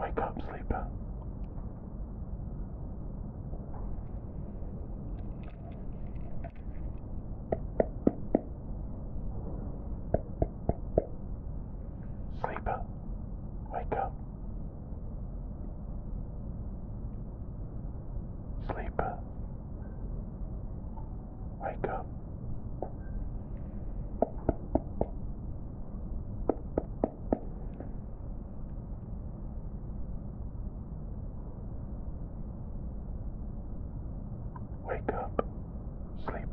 Wake up, sleeper. Sleeper, wake up. Sleep. Wake up. Wake up, sleep.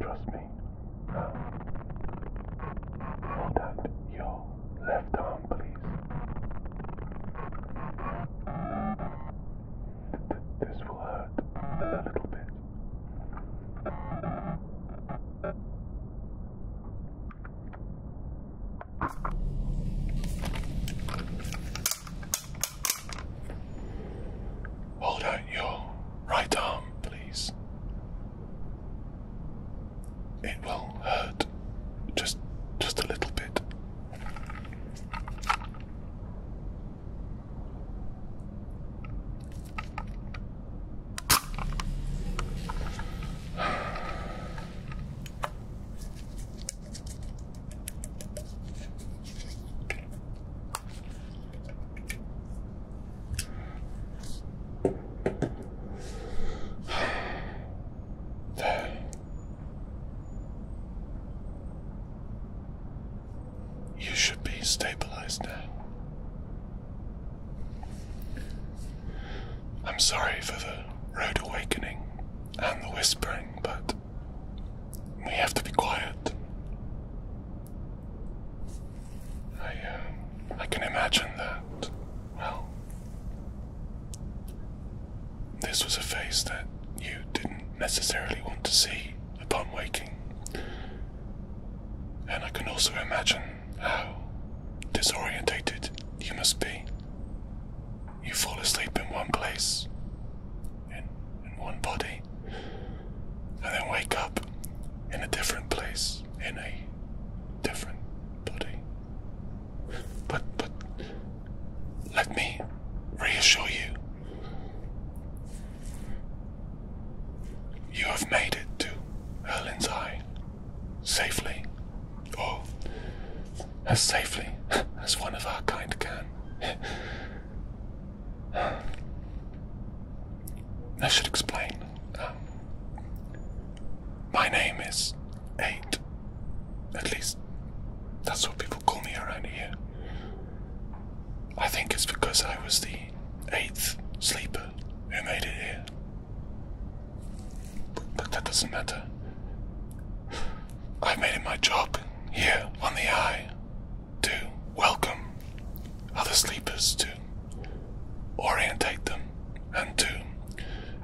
Trust me. Now. Hold out your left arm, please. this will hurt a little bit. Hold out your right arm, please. It will hurt just just a little bit. You should be stabilized now. I'm sorry for the road awakening and the whispering, but we have to be quiet. I, uh, I can imagine that. Well, this was a face that you didn't necessarily want to see upon waking. And I can also imagine how disorientated you must be. You fall asleep in one place, in, in one body, and then wake up in a different place in a different body. But, but, let me reassure you. You have made it to Erlin's Eye safely, or as safely as one of our kind can. I should explain. Um, my name is Eight. At least that's what people call me around here. I think it's because I was the eighth sleeper who made it here. But, that doesn't matter. i made it my job here on the eye to welcome other sleepers, to orientate them, and to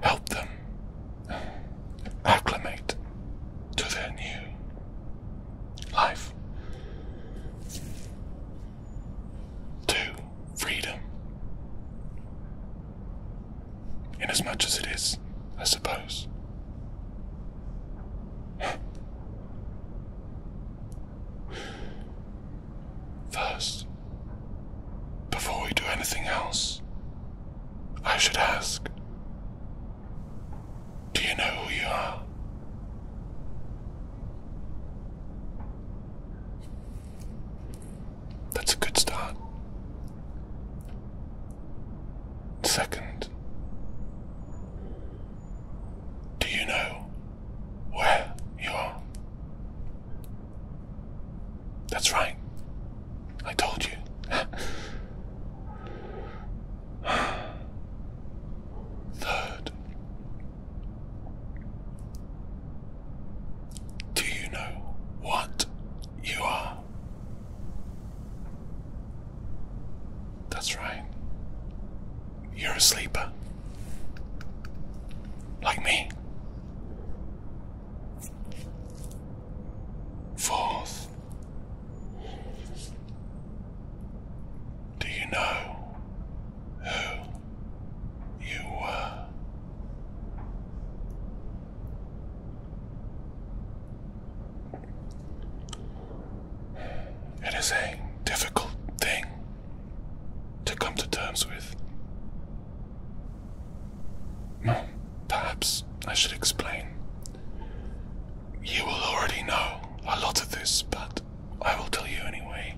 help them uh, acclimate to their new life, to freedom. In as much as it is, I suppose. First, before we do anything else, I should ask Do you know who you are? That's a good start. Second, do you know where you are. That's right. I told you. Third, do you know what you are? That's right. You're a sleeper. Like me. Fourth. Do you know who you were? It is a difficult thing to come to terms with. Well, perhaps I should explain. You will already know a lot of this, but I will tell you anyway.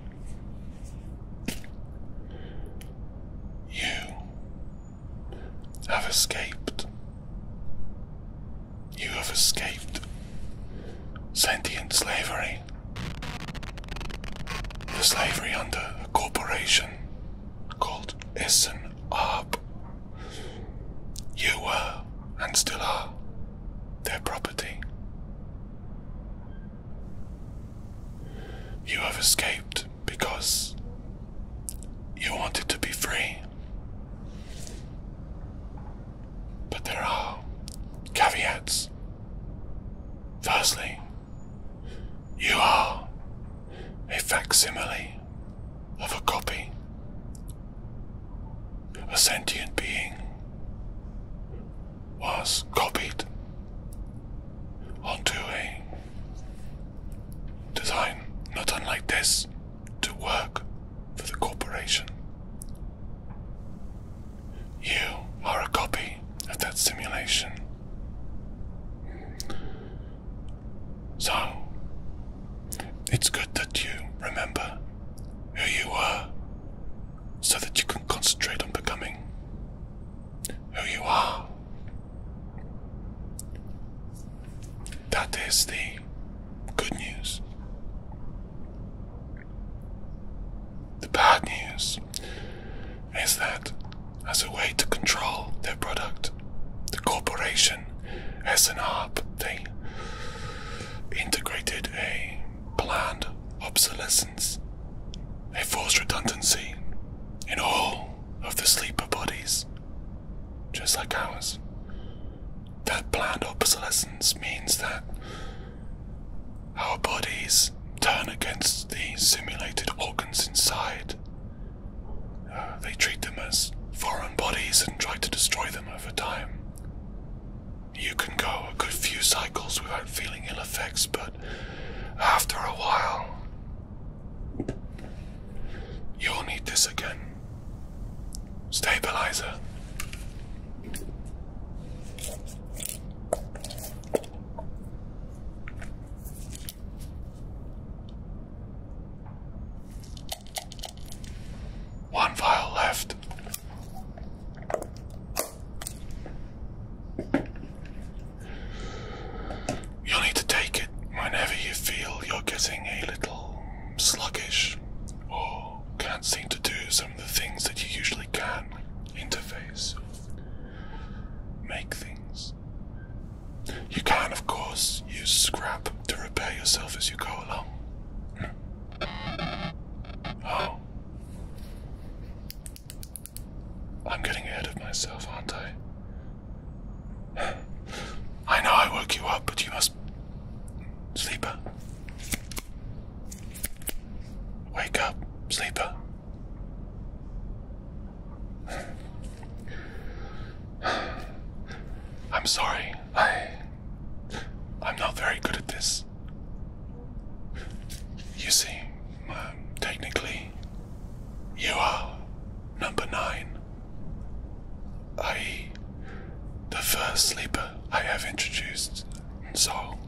You have escaped you have escaped sentient slavery. The slavery under a corporation called Essen Arp. You were, and still are, their property. You have escaped because you wanted to be free. But there are caveats. Firstly, you are a facsimile of a copy, a sentient being was copied onto a design not unlike this to work for the corporation. You are a copy of that simulation. So, it's good that you remember who you were so that you can concentrate on becoming who you are. That is the Good news. The bad news is that, as a way to control their product, the corporation SNR they integrated a planned obsolescence, a forced redundancy in all of the sleeper bodies, just like ours. That planned obsolescence means that our bodies turn against the simulated organs inside. they treat them as foreign bodies and try to destroy them over time. You can go a good few cycles without feeling ill effects, but after a while, you'll need this again. Stabilizer. One file left. You'll need to take it whenever you feel you're getting a little sluggish or can't seem to do some of the things that you usually can. Interface, make things. You can, of course, use scrap to repair yourself as you go along. Oh. I'm getting ahead of myself, aren't I? I know I woke you up, but you must just sleeper. Wake up, sleeper. I'm sorry. I I'm not very good at this. You see, um, technically, you are number nine i.e., the first sleeper I have introduced. So,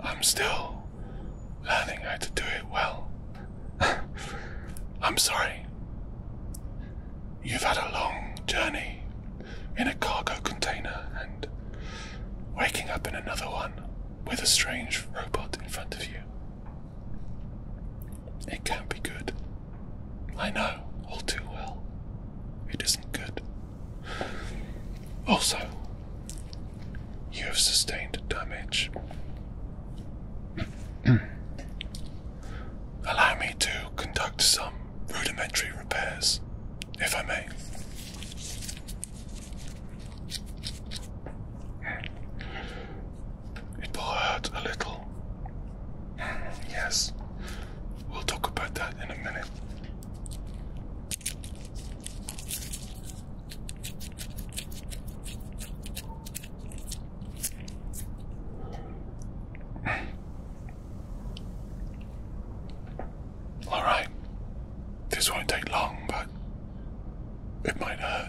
I'm still learning how to do it well. I'm sorry. You've had a long journey in a cargo container and waking up in another one with a strange robot in front of you. It can't be good. I know all too well. It isn't good. Also, you have sustained damage. Allow me to conduct some rudimentary repairs, if I may. It will hurt a little. Yes. We'll talk about that in a minute. All right. This won't take long, but it might hurt.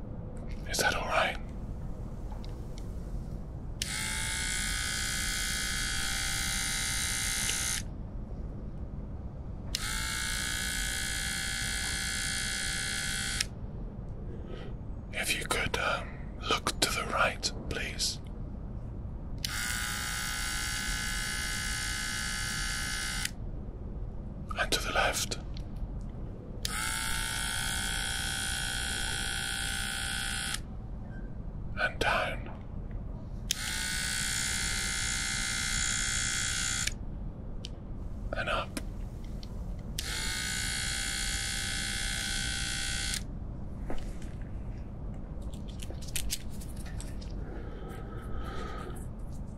Is that all right? If you could um, look to the right, please. And to the left and down. And up.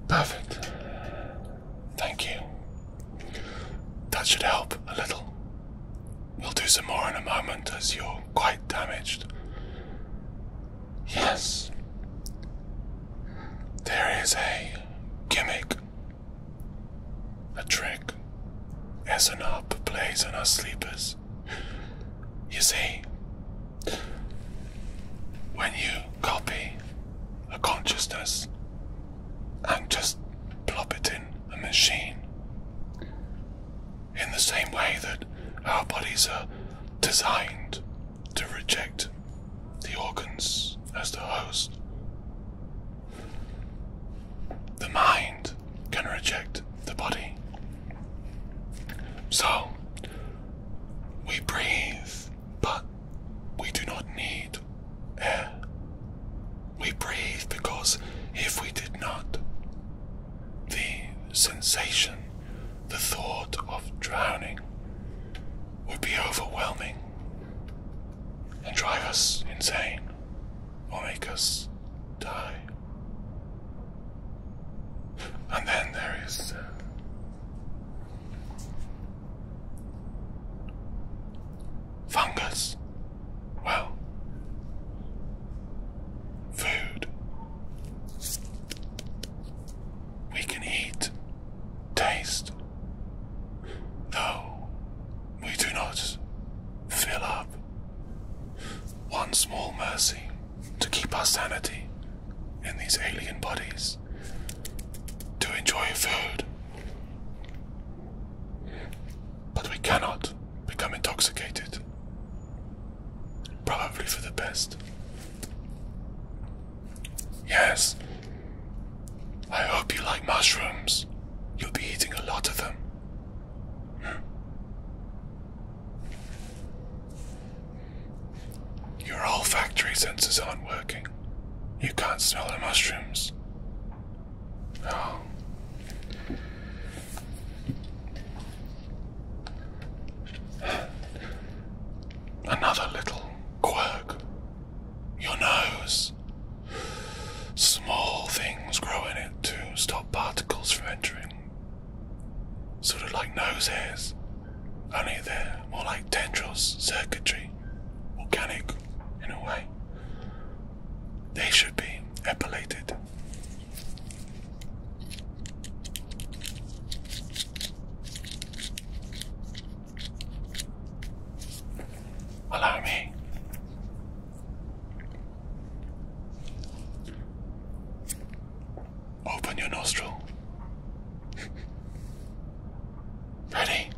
Perfect. Thank you. That should help a little. We'll do some more in a moment as you're quite damaged. Yes. There is a gimmick, a trick, as Esenop plays on our sleepers. You see, when you copy a consciousness and just plop it in a machine. In the same way that our bodies are designed to reject the organs as the host, the mind can reject the body. So, we breathe, but we do not need breathed. We breathe because if we did not, the sensation, the thought of drowning would be overwhelming and drive us insane or make us die. And then there is uh, Fungus. Well, food. We can eat, taste, though we do not fill up. One small mercy to keep our sanity in these alien bodies to enjoy food. But we cannot become intoxicated. Probably for the best. Yes, I hope you like mushrooms. You'll be eating a lot of them. Hmm. Your olfactory senses aren't working. You can't smell the mushrooms. Oh. Another little quirk. Your nose. Small things grow in it to stop particles from entering. Sort of like nose hairs, only they're more like tendrils, circuitry organic in a way. They should be epilated. Allow me. Open your nostril. Ready?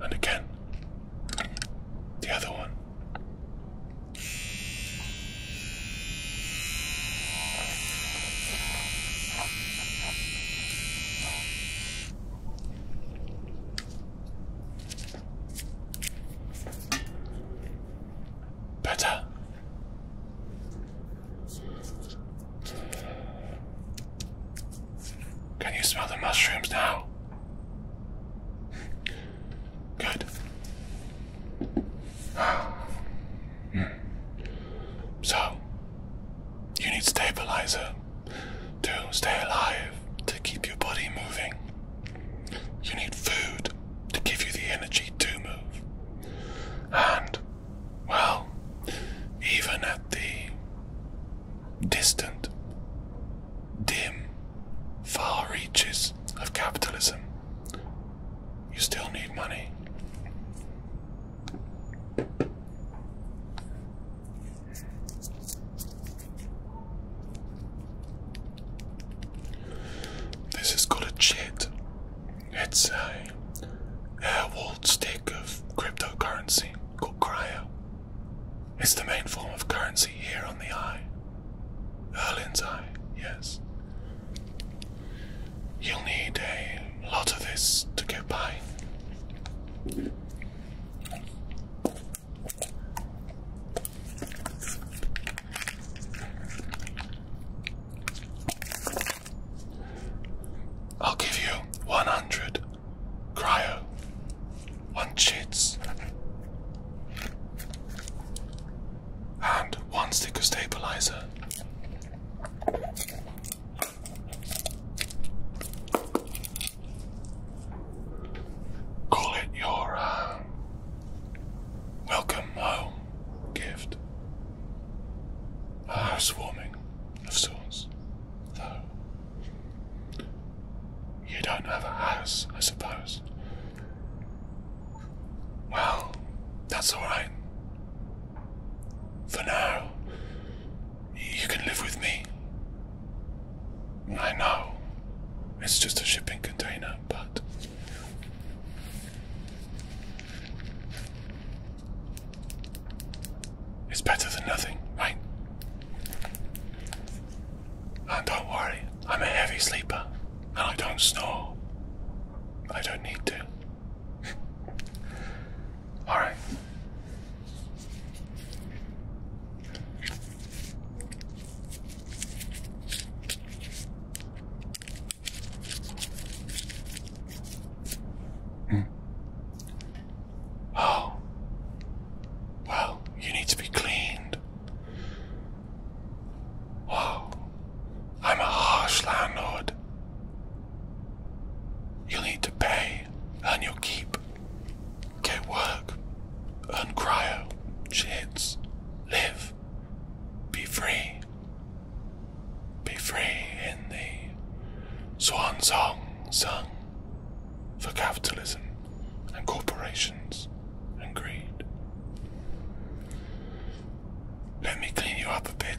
And again, the other one. Better. Can you smell the mushrooms now? Good. Hmm. So, you need stabilizer to stay alive, to keep your body moving. You need food to give you the energy to move. And, well, even at the distant, dim, far reaches of capitalism, you still need money. This is called a chit. It's a air-walled stick of cryptocurrency called cryo. It's the main form of currency here on the eye. Erlin's eye, yes. You'll need a lot of this to get by. I'll give you 100 cryo, one cheats, and one sticker stabilizer. Call it your uh, welcome home gift. A swarming of sorts, though. You don't have a house, I suppose. Well, that's alright. For now, you can live with me. I know. It's just a shipping container, but. It's better than nothing, right? And don't worry, I'm a heavy sleeper, and I don't snore. I don't need to. All right. Mm. Oh. Well, you need to be cleaned. Wow. I'm a harsh landlord. You'll need to pay, and you'll keep, get work, earn cryo, Chits, live, be free. Be free in the swan song song for capitalism and corporations and greed. Let me clean you up a bit.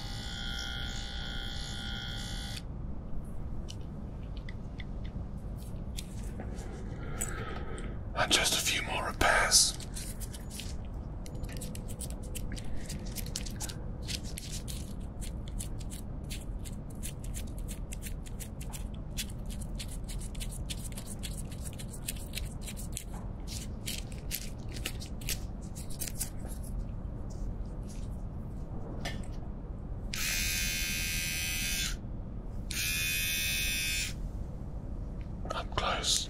And just a few more repairs. Up close.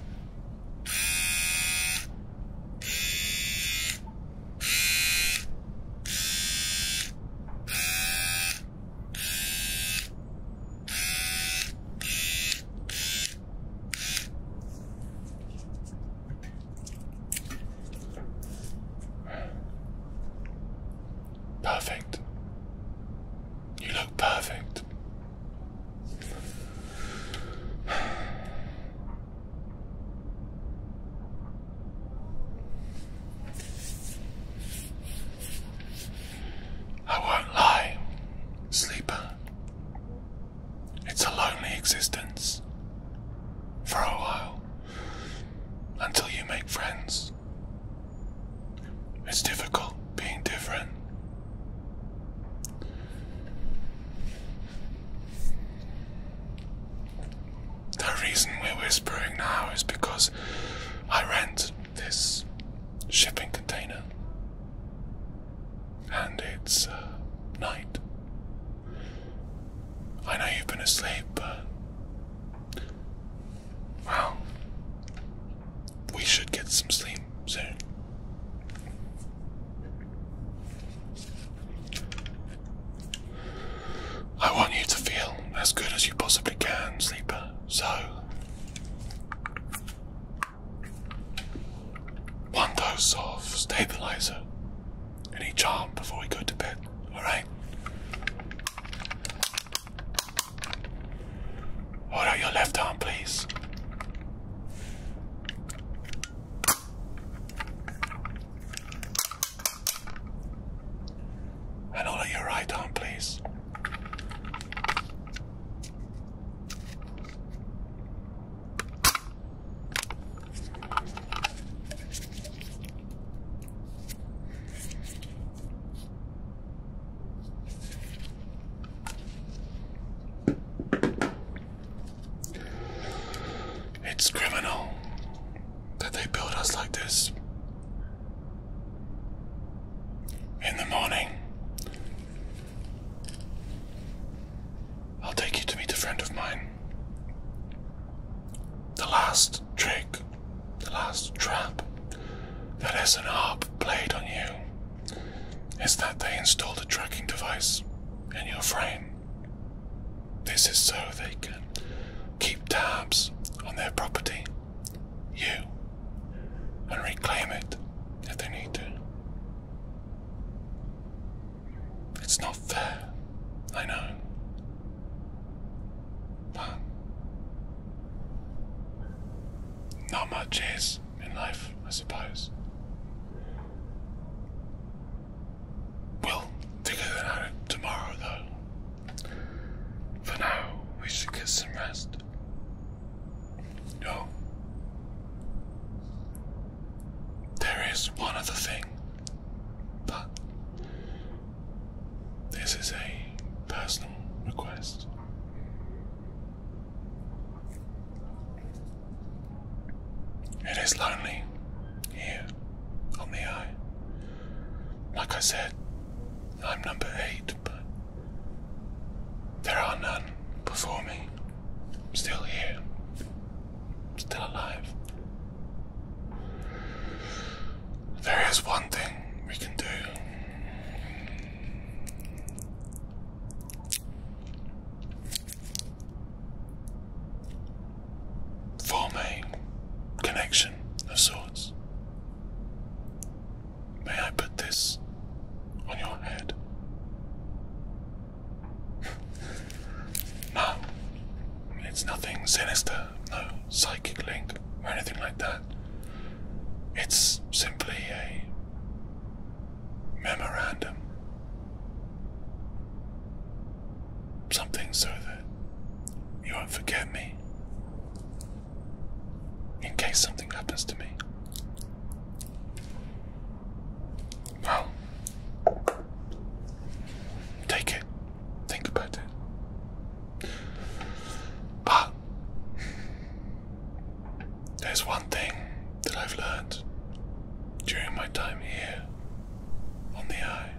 Perfect. You look perfect. I won't lie, sleeper. It's a lonely existence. For a while. Until you make friends. It's difficult being different. The reason we're whispering now is because I rent this shipping container and it's uh, night. I know you've been asleep, but. Well, we should get some sleep soon. I want you to feel as good as you possibly can, sleeper, so one dose of stabilizer in each arm before we go to bed, alright? Hold out your left arm, please. And hold out your right arm, please. It's criminal that they build us like this. In the morning, I'll take you to meet a friend of mine. The last trick, the last trap that SNR played on you is that they installed a tracking device in your frame. This is so they can keep tabs on their property, you, and reclaim it if they need to. It's not fair. I know. But not much is in life, I suppose. We'll figure that out tomorrow, though. For now, we should get some rest. No. There is one other thing, but this is a personal request. It is lonely here on the eye. Like I said, I'm number eight but there are none before me. I'm still here, still alive. There is one thing we can do. Form a connection of sorts. May I put this on your head? no, it's nothing sinister, no psychic link or anything like that. It's simply a memorandum. Something so that you won't forget me in case something happens to me. Well, take it. Think about it. But there's one thing that I've learned during my time here on the eye.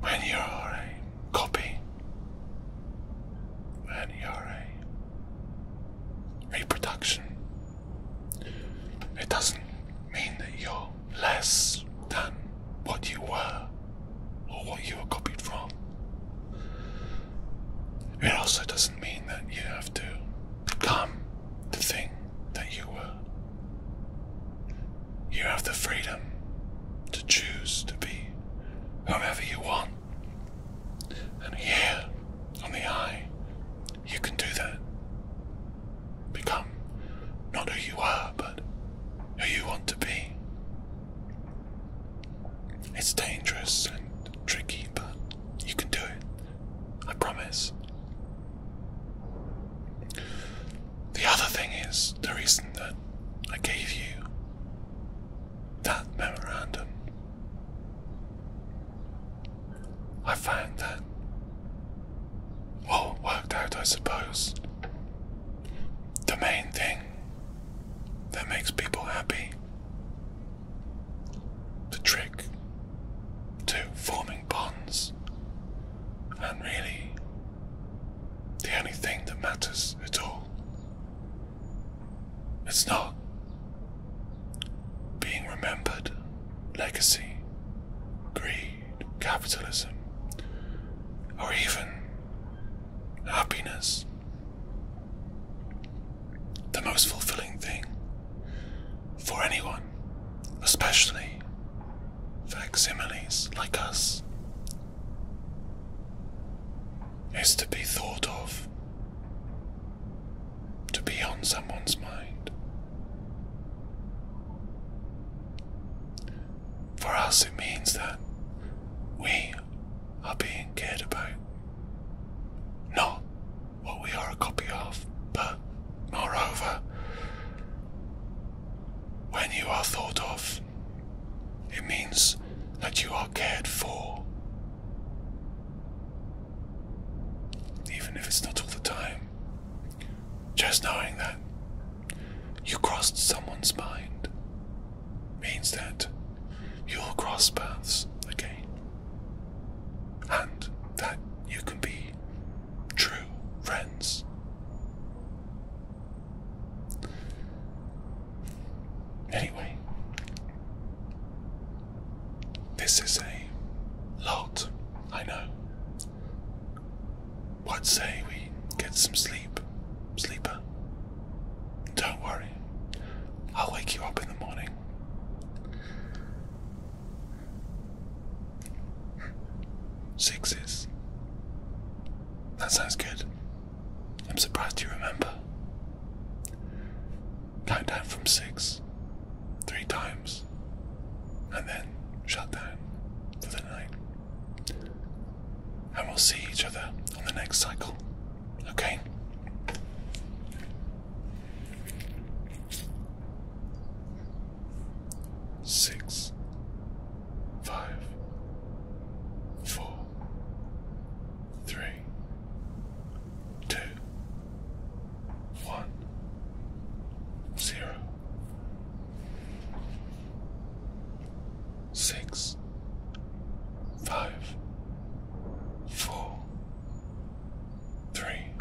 When you're our copy, and you're a reproduction. It doesn't mean that you're less than what you were or what you were copied from. It also doesn't mean that you have to become the thing that you were. You have the freedom to choose to be whomever you want. And here on the eye, you can do that. Become not who you are, but who you want to be. It's dangerous and tricky, but you can do it. I promise. The other thing is the reason that I gave you that memorandum. I found that, well, worked out, I suppose. The main thing that makes people happy, the trick to forming bonds and really the only thing that matters at all. It's not being remembered, legacy, greed, capitalism, or even happiness. The most fulfilling thing for anyone, especially facsimiles like us, is to be thought of, to be on someone's mind. For us, it means that we are being cared about. Not what we are a copy of, but moreover, when you are thought of, it means that you are cared for. Even if it's not all the time, just knowing that you crossed someone's mind means that you'll cross paths again. And that you can be true friends. Anyway, this is a lot, I know. What say we get some sleep, sleeper? Don't worry, I'll wake you up in the morning. Sixes. That sounds good. I'm surprised you remember. Countdown from six, three times, and then shut down for the night. And we'll see each other on the next cycle, okay? Six, five, four, three, two, one, zero, six, five, four, three,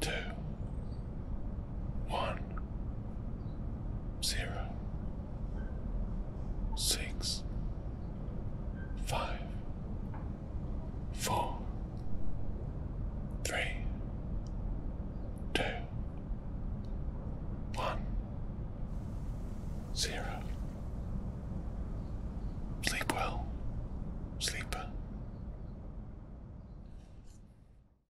two one, zero, six, five, four, three, two, one, zero. Sleep well, sleeper.